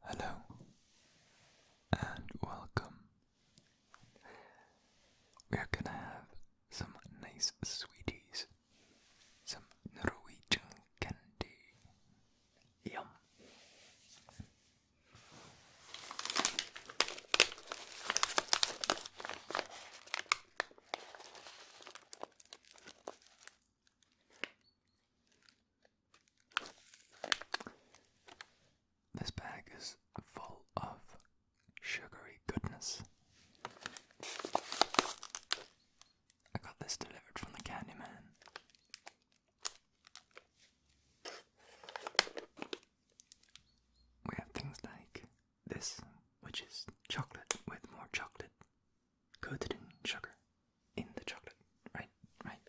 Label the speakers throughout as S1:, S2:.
S1: Hello and welcome. We're gonna have some nice sweeties, some Norwegian candy. Yum. This bag is full of sugary goodness. I got this delivered from the Candyman. We have things like this, which is chocolate with more chocolate coated in sugar in the chocolate, right? Right.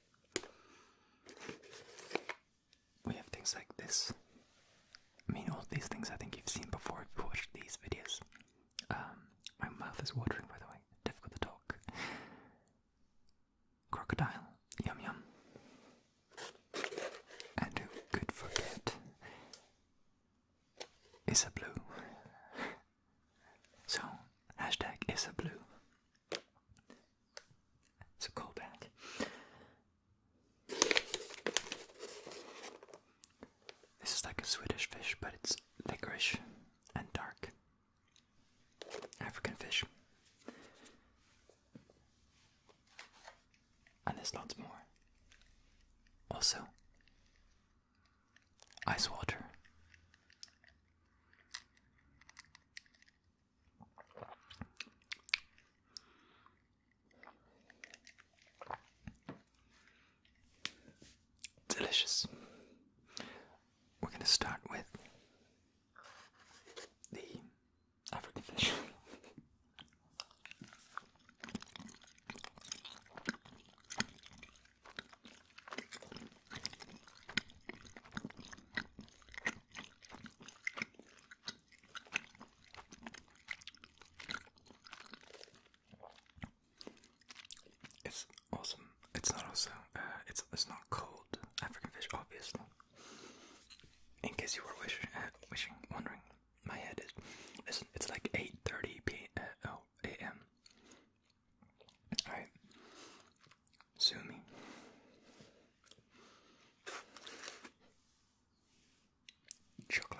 S1: We have things like this. I mean, all these things I think you've seen before if you've watched these videos. Um, my mouth is watering, by the way. Difficult to talk. Crocodile. Yum yum. And who could forget Issa Blue. so, hashtag Issa Blue. It's a cold This is like a Swedish fish, but it's liquorish and dark. African fish. And there's lots more. Also, ice water. Delicious. We're going to start with the African fish. It's awesome it's not also uh, it's it's not cold African fish, obviously. In case you were wish, uh, wishing, wondering, my head is listen. It's like eight thirty p. Uh, oh, a.m. All right, sue me. Chocolate.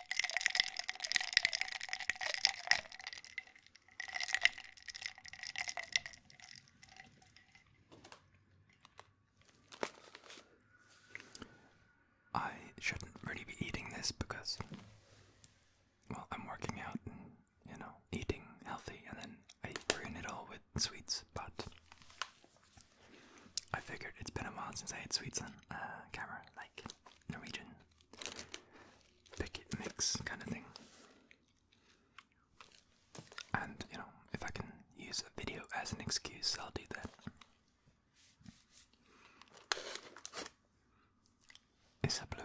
S1: I shouldn't really be eating this because, well, I'm working out and, you know, eating healthy, and then I ruin it all with sweets, but I figured it's been a while since I ate sweets on uh, camera, like Norwegian pick it, mix kind of thing. And you know, if I can use a video as an excuse, I'll do that. Is it blue?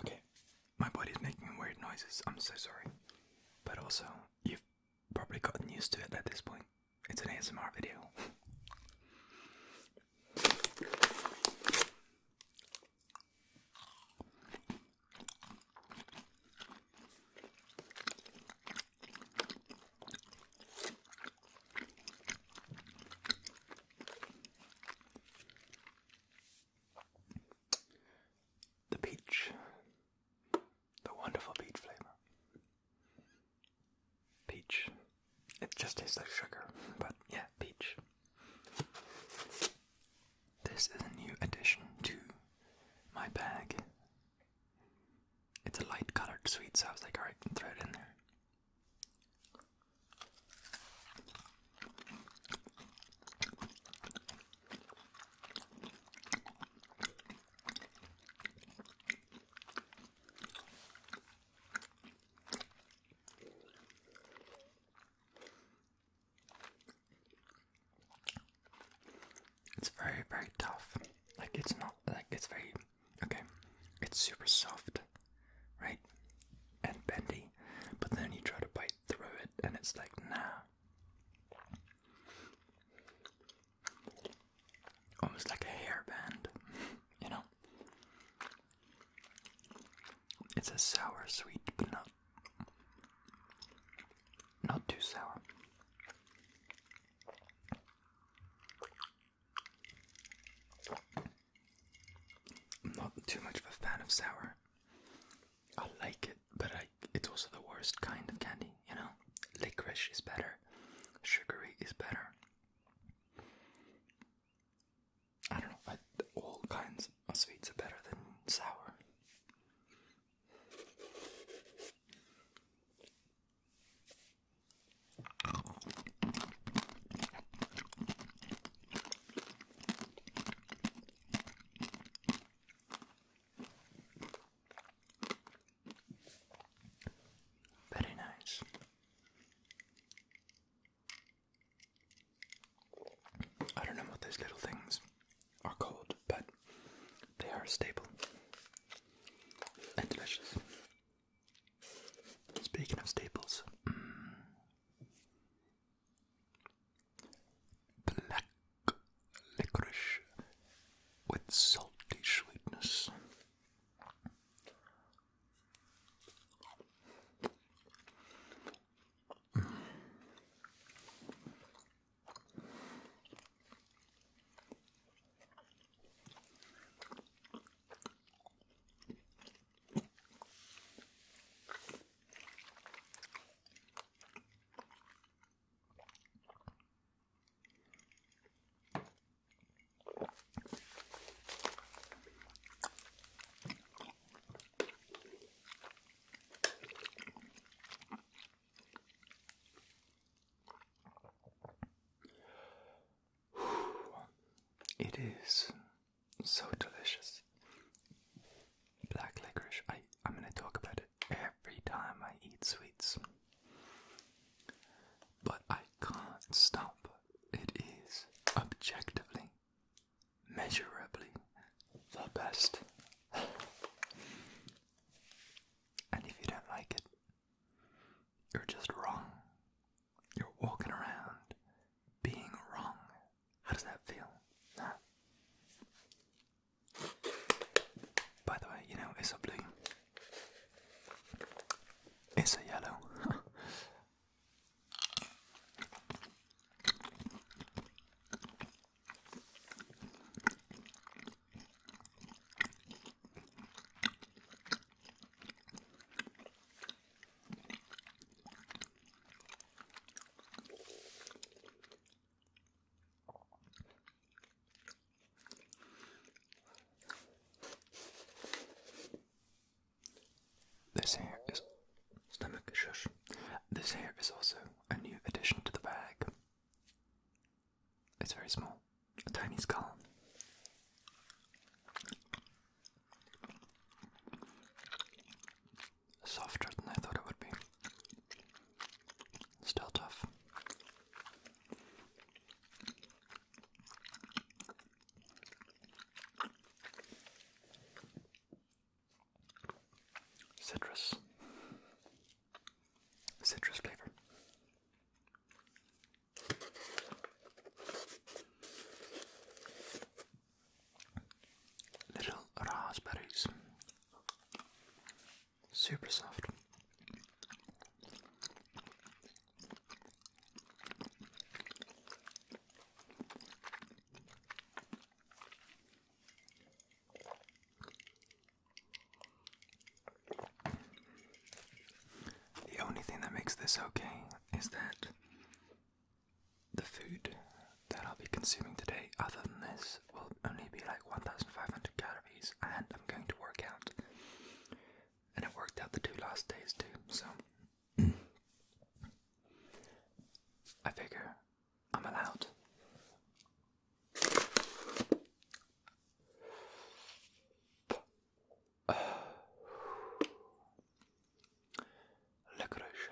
S1: Okay, my body's making weird noises. I'm so sorry. But also, you've probably gotten used to it at this point. It's an ASMR video the peach, the wonderful peach flavor. Peach. It just tastes like sugar, but yeah, peach. This is a new addition to my bag. It's a light colored sweet, so I was like, alright, throw it in there. It's very, very tough. Like, it's not, like, it's very, okay, it's super soft, right? And bendy, but then you try to bite through it, and it's like, nah. Almost like a hairband, you know? It's a sour sweet, but not not too sour. not too much of a fan of sour. I like it, but I, it's also the worst kind of candy, you know? Licorice is better, sugary is better. I don't know, all kinds of sweets are better than sour. Very nice. I don't know what those little things are called, but they are stable and delicious. Speaking of staples, Black licorice with salty sweetness. It is so delicious. Black licorice. I, am going to talk about it every time I eat sweets. But I can't stop. It is objectively, measurably the best. and if you don't like it, you're just wrong. You're walking around being wrong how does that feel? Nah. By the way, you know, it's a blue. It's a yellow. This hair is stomach shush. This hair is also a new addition to the bag. It's very small, a tiny skull softer than I thought it would be. Still tough. Citrus. Citrus flavor little raspberries. Super soft. The only thing that makes this okay is that the food that I'll be consuming today, other than this, will only be like 1,500 calories, and I'm going to work out. And it worked out the two last days too, so I figure I'm allowed. Licorice,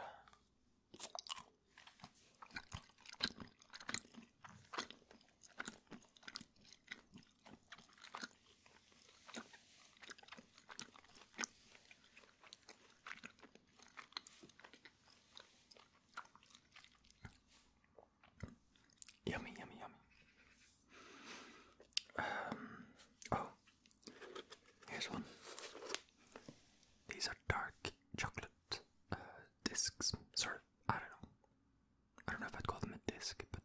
S1: Yummy, yummy, yummy. Um, oh, Here's one. These are dark chocolate uh, discs. Sort of, I don't know. I don't know if I'd call them a disc, but.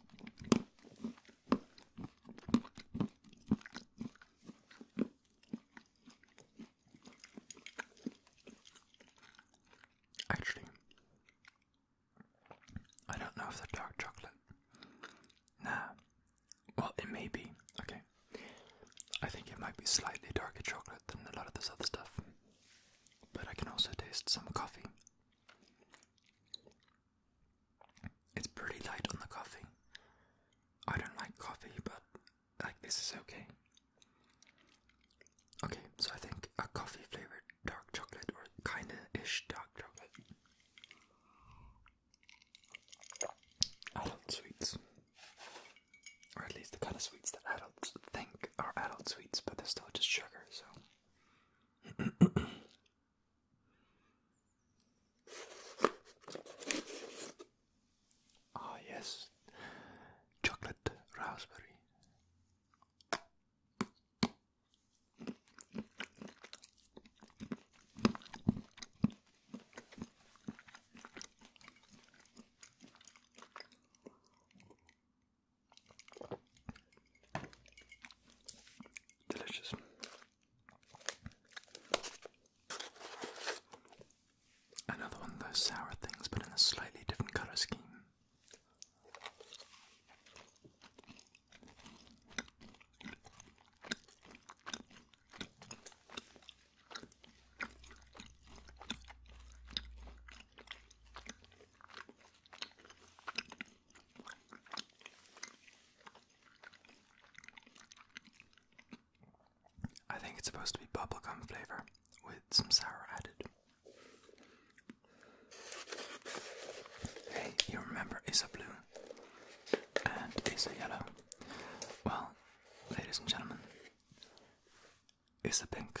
S1: Um, actually, I don't know if they dark chocolate. Nah. Well, it may be. Okay. I think it might be slightly darker chocolate than a lot of this other stuff. But I can also taste some coffee. It's pretty light on the coffee. I don't like coffee, but like this is okay. Okay, so I think a coffee flavored dark chocolate or kinda ish dark Adult sweets. Or at least the kind of sweets that adults think are adult sweets, but they're still just sugar, so. Ah, yes. Chocolate raspberry. Delicious. Another one of those sour things, but in a slightly different colour scheme. I think it's supposed to be bubblegum flavor with some sour added. Hey, you remember is a blue and is a yellow. Well, ladies and gentlemen, it's a pink.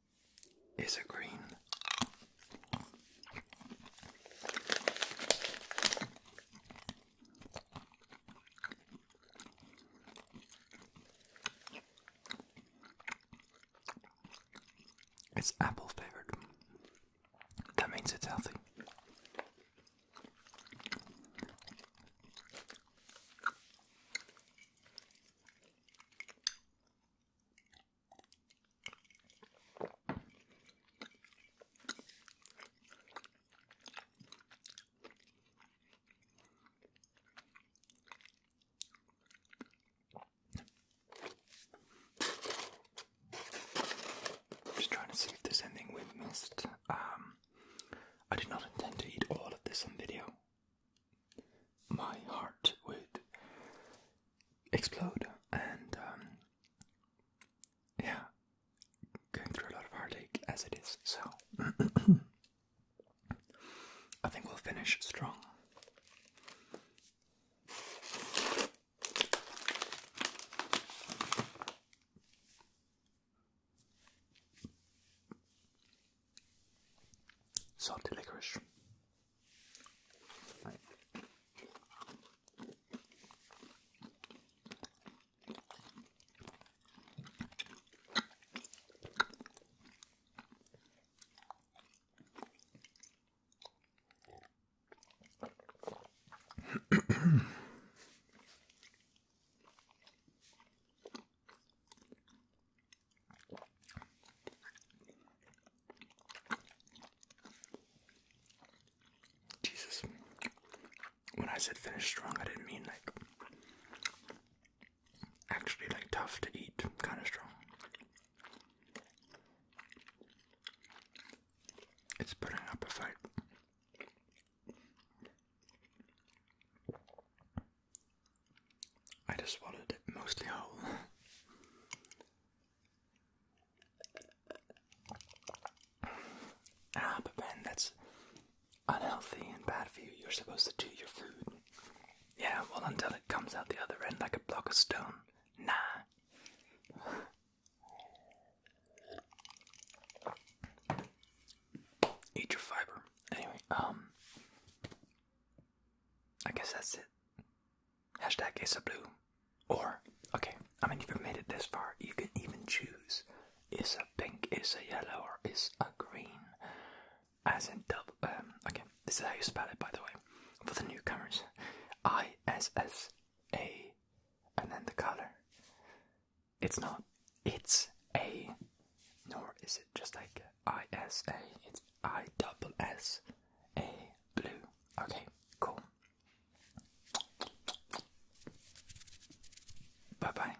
S1: It's a green. It's apple flavored. That means it's healthy. Just trying to see if there's anything we've missed. Um, I did not intend to eat all of this on video my heart would explode and um, yeah, going through a lot of heartache as it is. So I think we'll finish strong salty licorice. Jesus. When I said finish strong, I didn't mean like actually like tough to eat, kind of strong. It's putting up a fight. I just swallowed it mostly whole. ah, but Ben, that's unhealthy and bad for you. You're supposed to chew your food. Yeah, well, until it comes out the other end like a block of stone. Nah. Eat your fiber. Anyway, um, I guess that's it. Hashtag is a blue. Or, okay, I mean, you've made it this far, you can even choose is a pink, is a yellow, or is a green. As in double. Um, okay, this is how you spell it, by the way, for the newcomers. I S S A, and then the color. It's not. It's a. Nor is it just like ISA. It's I double S A blue. Okay, cool. Bye bye.